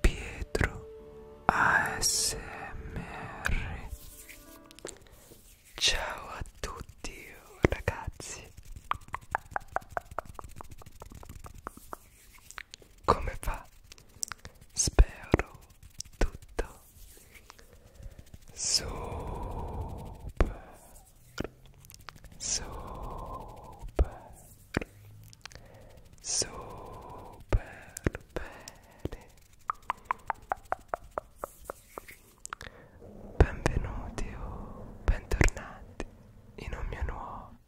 Pietro ASMR Ciao a tutti ragazzi Come va? Spero tutto super super super bene benvenuti o oh, bentornati in un mio nuovo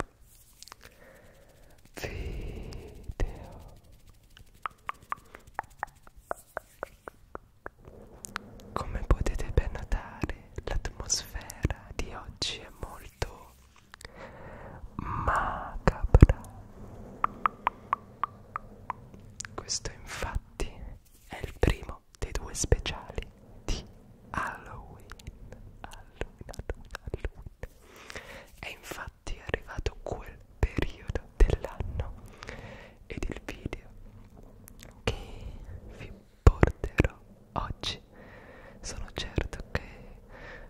video come potete ben notare l'atmosfera di oggi è molto molto macabra. Questo infatti è il primo dei due speciali di Halloween. Halloween, Halloween, Halloween. È infatti arrivato quel periodo dell'anno ed il video che vi porterò oggi sono certo che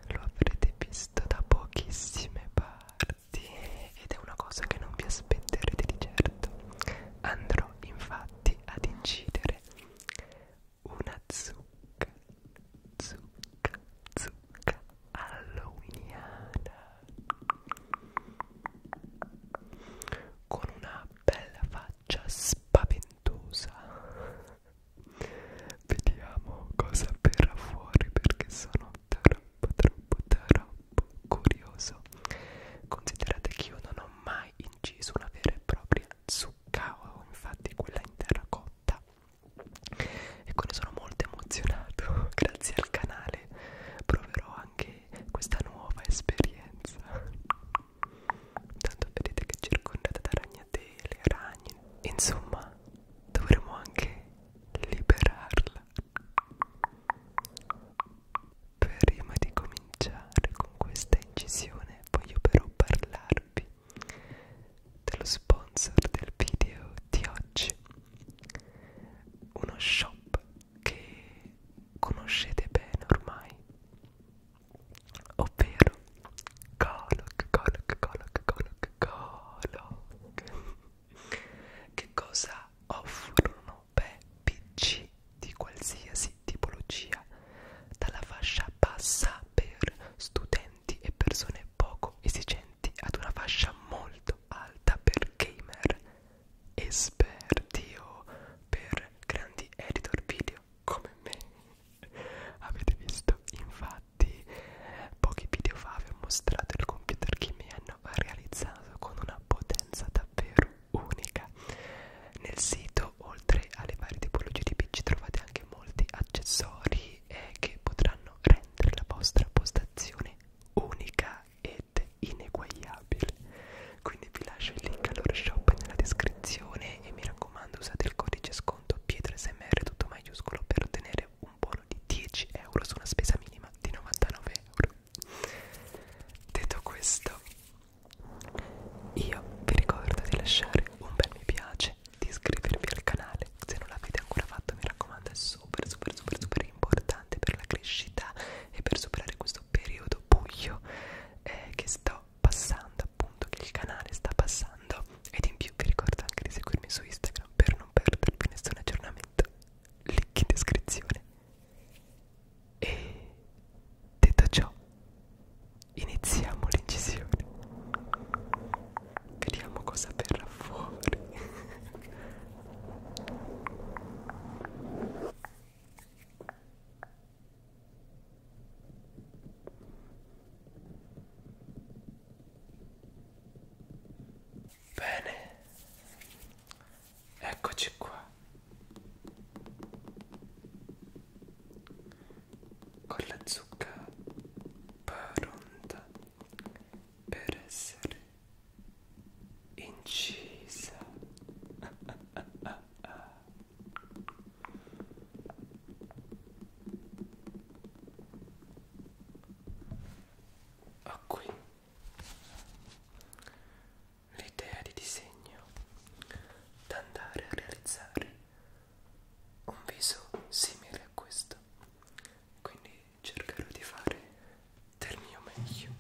lo avrete visto da pochissime parti ed è una cosa che non vi aspetterete di certo andrò infatti ad incidere una zucca zucca zucca halloweeniana con una bella faccia spaventata ventosa vediamo cosa verrà fuori perché sono troppo troppo troppo curioso considerate che io non ho mai inciso una vera e propria zucchero infatti quella in terracotta e quindi sono molto emozionato grazie al canale proverò anche questa nuova esperienza Tanto vedete che è circondata da ragnatele, ragni. Insomma, dovremmo anche liberarla. Prima di cominciare con questa incisione, voglio però parlarvi dello sponsor del video di oggi. Uno shop che conoscete bene ormai ovvero Golok, Golok, Golok, Golok, Golok. Che cosa offrono? Beh, PC di qualsiasi tipologia, dalla fascia bassa per studenti e persone poco esigenti ad una fascia molto alta per gamer esperti o per grandi editor video proprio come me avete visto infatti pochi video fa vi ho mostrato il computer che mi hanno realizzato con una potenza davvero unica nel sito oltre alle varie tipologie di pc trovate anche molti accessori eh, che potranno rendere la vostra postazione unica ed ineguagliabile quindi vi lascio il link al loro shop nella descrizione e mi raccomando usate il codice sconto PietroSMR tutto maiuscolo per ottenere un buono di 10 euro su una spesa minima di 99 euro detto questo io vi ricordo di lasciare un bel mi piace di iscrivervi al canale se non l'avete ancora fatto mi raccomando è super super super super importante per la crescita e per superare questo periodo buio eh, che sto passando appunto che il canale sta passando ed in più vi ricordo anche di seguirmi su Instagram per non perdervi nessun aggiornamento link in descrizione e detto ciò iniziamo l'incisione vediamo cosa verrà fuori Bene, eccoci qua con la zucca pronta per essere incisa. Ho qui l'idea di disegno da andare a realizzare un viso simile a questo quindi cercherò di fare del mio meglio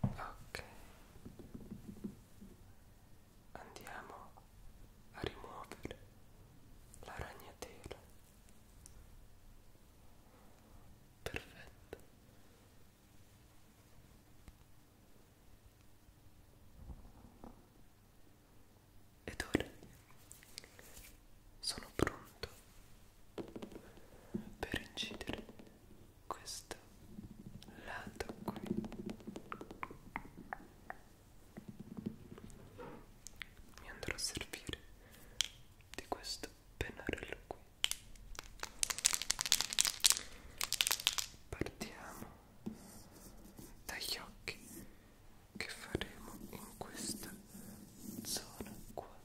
ok andiamo a rimuovere la ragnatela perfetto ed ora sono pronto per incidere questo lato qui mi andrò a servire di questo pennarello qui partiamo dagli occhi che faremo in questa zona qua ok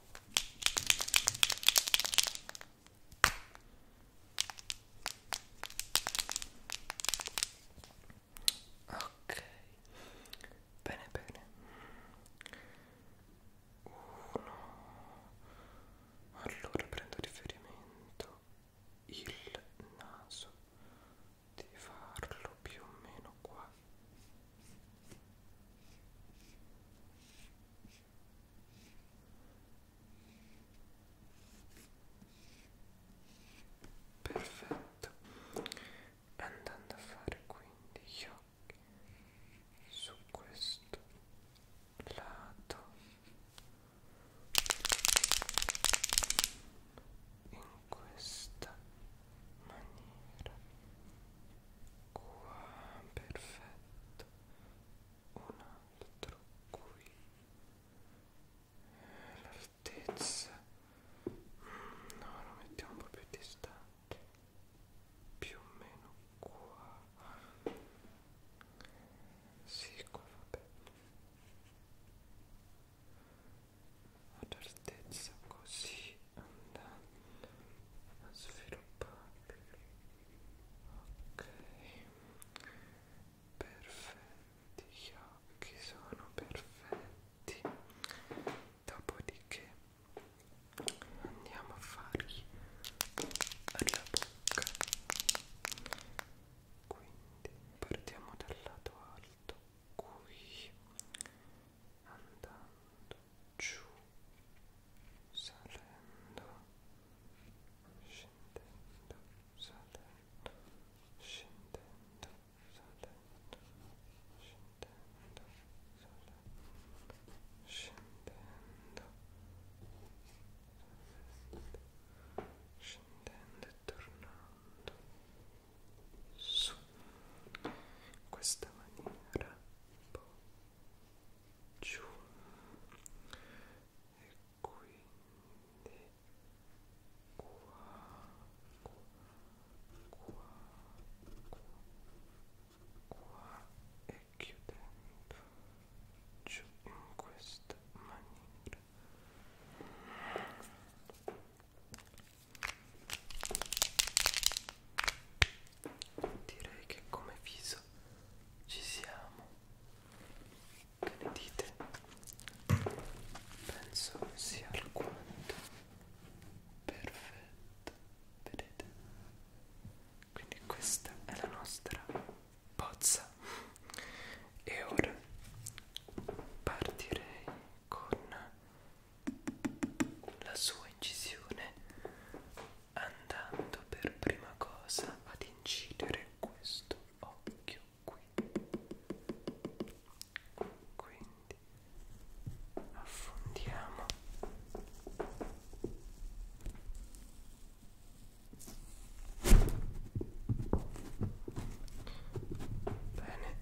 bene bene uno allora prendo riferimento il naso di farlo più o meno qua Perfetto, andando a fare quindi gli occhi su questo lato in questa maniera qua perfetto un altro qui l'altezza no lo mettiamo un po' più distante più o meno qua si sì, qua va bene ad altezza così andando a svilupparli ok perfetti gli occhi sono perfetti dopodiché andiamo a fargli alla bocca quindi partiamo dal lato alto qui andando giù salendo scendendo salendo scendendo salendo scendendo salendo scendendo salendo scendendo e tornando su in questa maniera po' giù e quindi qua qua qua qua e chiudendo giù in questa maniera Direi che come viso ci siamo. Che ne dite? Penso sia alquanto perfetto. Vedete? Quindi questa è la nostra pozza. E ora partirei con la sua incisione andando per prima cosa ad incidere questo occhio qui quindi affondiamo Bene.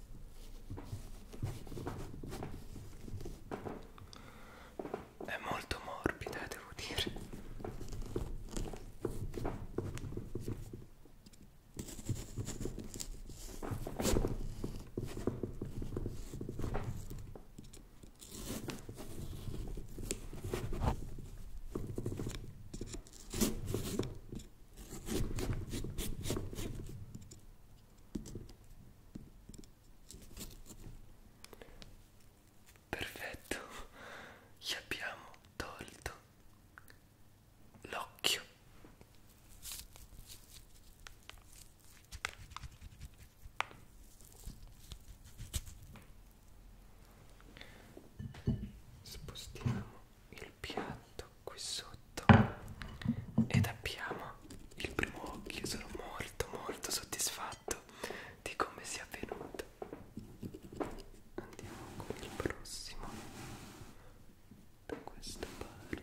È molto morbida, devo dire. Perfetto, gli abbiamo tolto l'occhio. Spostiamo il piatto qui sotto ed abbiamo il primo occhio sono molto molto soddisfatto di come sia avvenuto andiamo con il prossimo da questa parte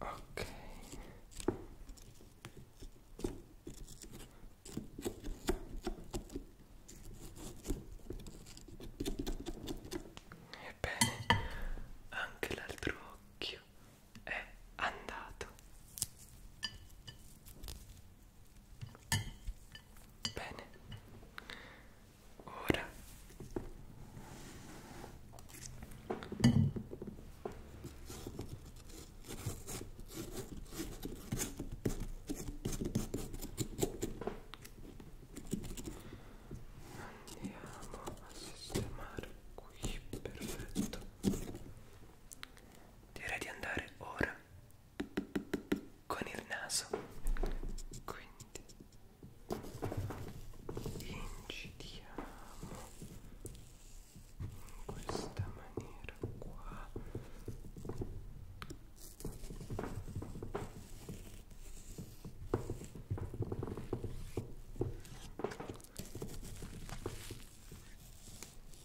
Ok. Ebbene, anche l'altro occhio è andato. Bene. Ora andiamo a sistemare qui perfetto direi di andare ora con il naso quindi incidiamo in questa maniera qua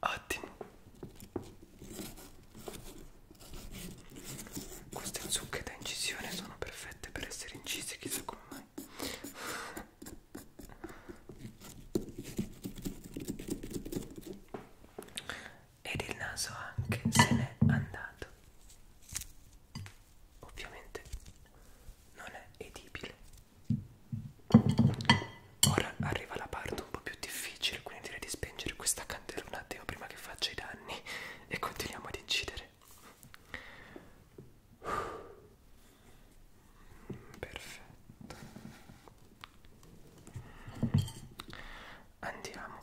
ottimo queste zucche da incisione sono perfette per essere incise chissà come mai ed il naso anche se n'è andato ovviamente non è edibile Ora arriva la parte un po' più difficile, quindi direi di spengere questa candela un attimo prima che faccia i danni e continuiamo ad incidere. Perfetto. Andiamo.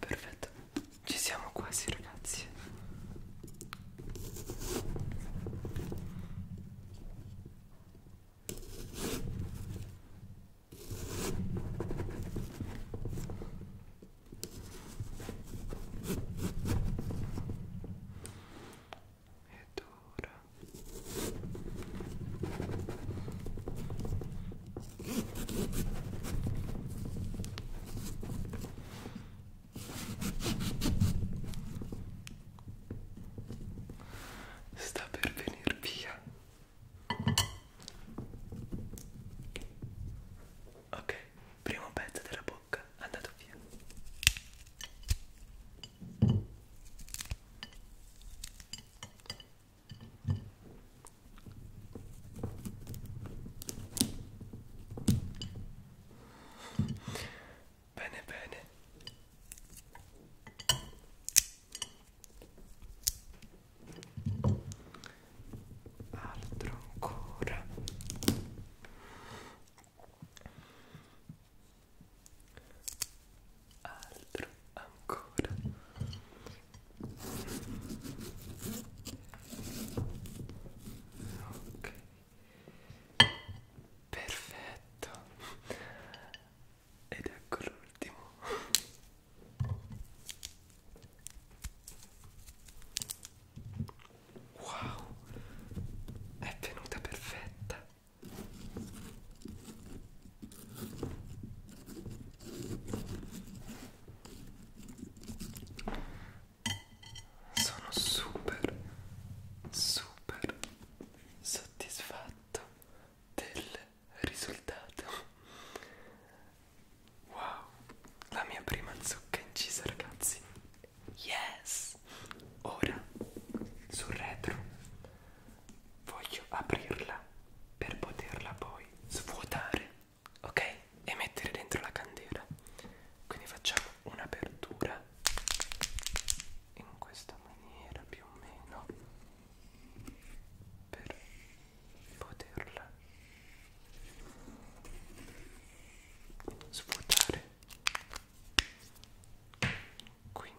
Perfetto, ci siamo quasi ragazzi ed ora sta per venir via ok primo pezzo della bocca andato via bene bene altro ancora altro ancora ok perfetto ed ecco l'ultimo Wow, è venuta perfetta. Sono super, super soddisfatto del risultato Wow, la mia prima zucca incisa ragazzi. Yes! Ora, sul retro, voglio aprirla per poterla poi svuotare, ok? E mettere dentro la candela. Quindi facciamo un'apertura in questa maniera più o meno per poterla svuotare quindi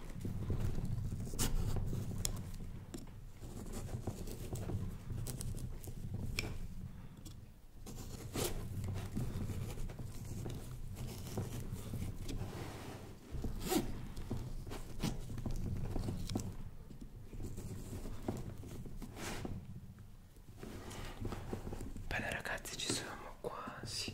Bene ragazzi ci siamo quasi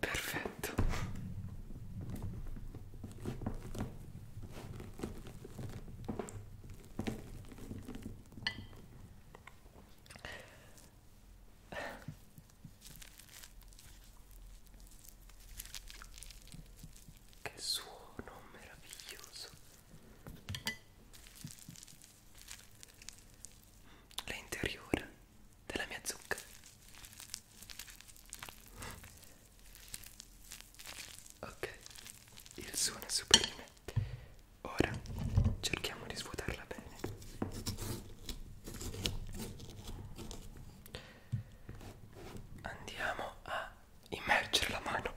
Perfetto. Che suono meraviglioso. L'interiore della mia zucca ok il suono è super di me ora cerchiamo di svuotarla bene andiamo a immergere la mano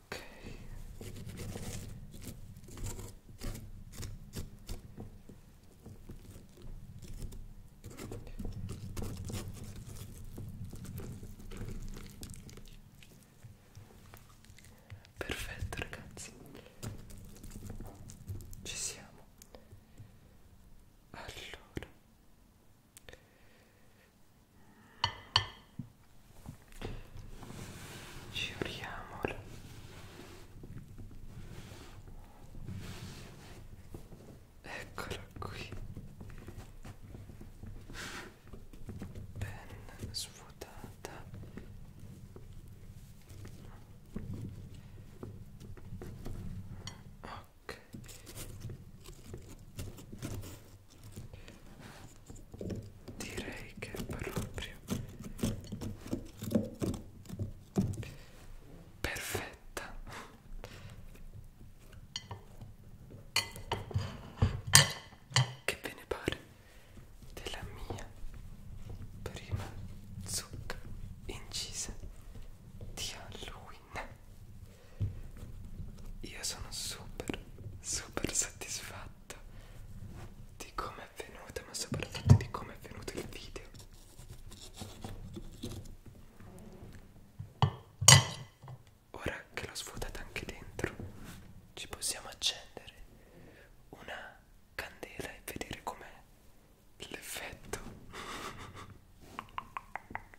ok perfetto ragazzi ci siamo allora Giuriamola. Eccola qui. Ben svuotata. Ok direi che proprio perfetta che ve ne pare della mia prima zucca incisa di Halloween io sono super, super soddisfatto di come è venuto, ma soprattutto di come è venuto il video. Ora che l'ho svuotata anche dentro, ci possiamo accendere una candela e vedere com'è l'effetto.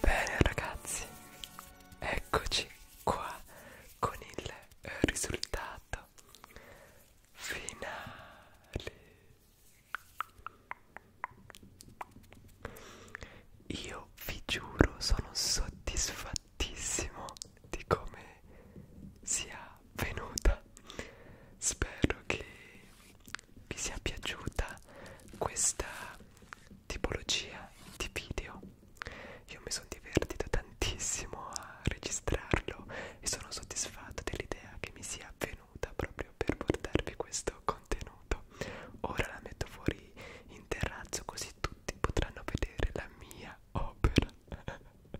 Bene ragazzi, eccoci qua con il risultato finale. Io vi giuro sono soddisfatto tantissimo di come sia venuta spero che vi sia piaciuta questa tipologia di video io mi sono divertito tantissimo a registrarlo e sono soddisfatto dell'idea che mi sia venuta proprio per portarvi questo contenuto ora la metto fuori in terrazzo così tutti potranno vedere la mia opera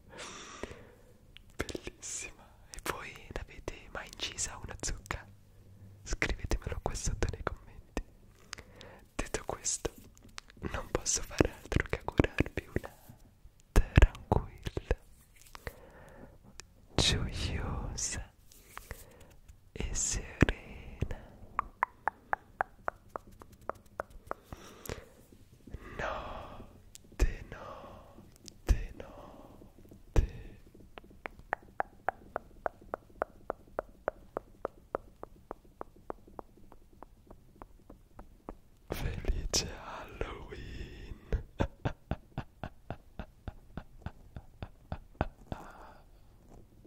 bellissima e voi l'avete mai incisa una zucca? scrivetemelo qua sotto nei commenti detto questo non posso fare altro che augurarvi una tranquilla gioiosa e serena Non, non, non note. Felice Halloween.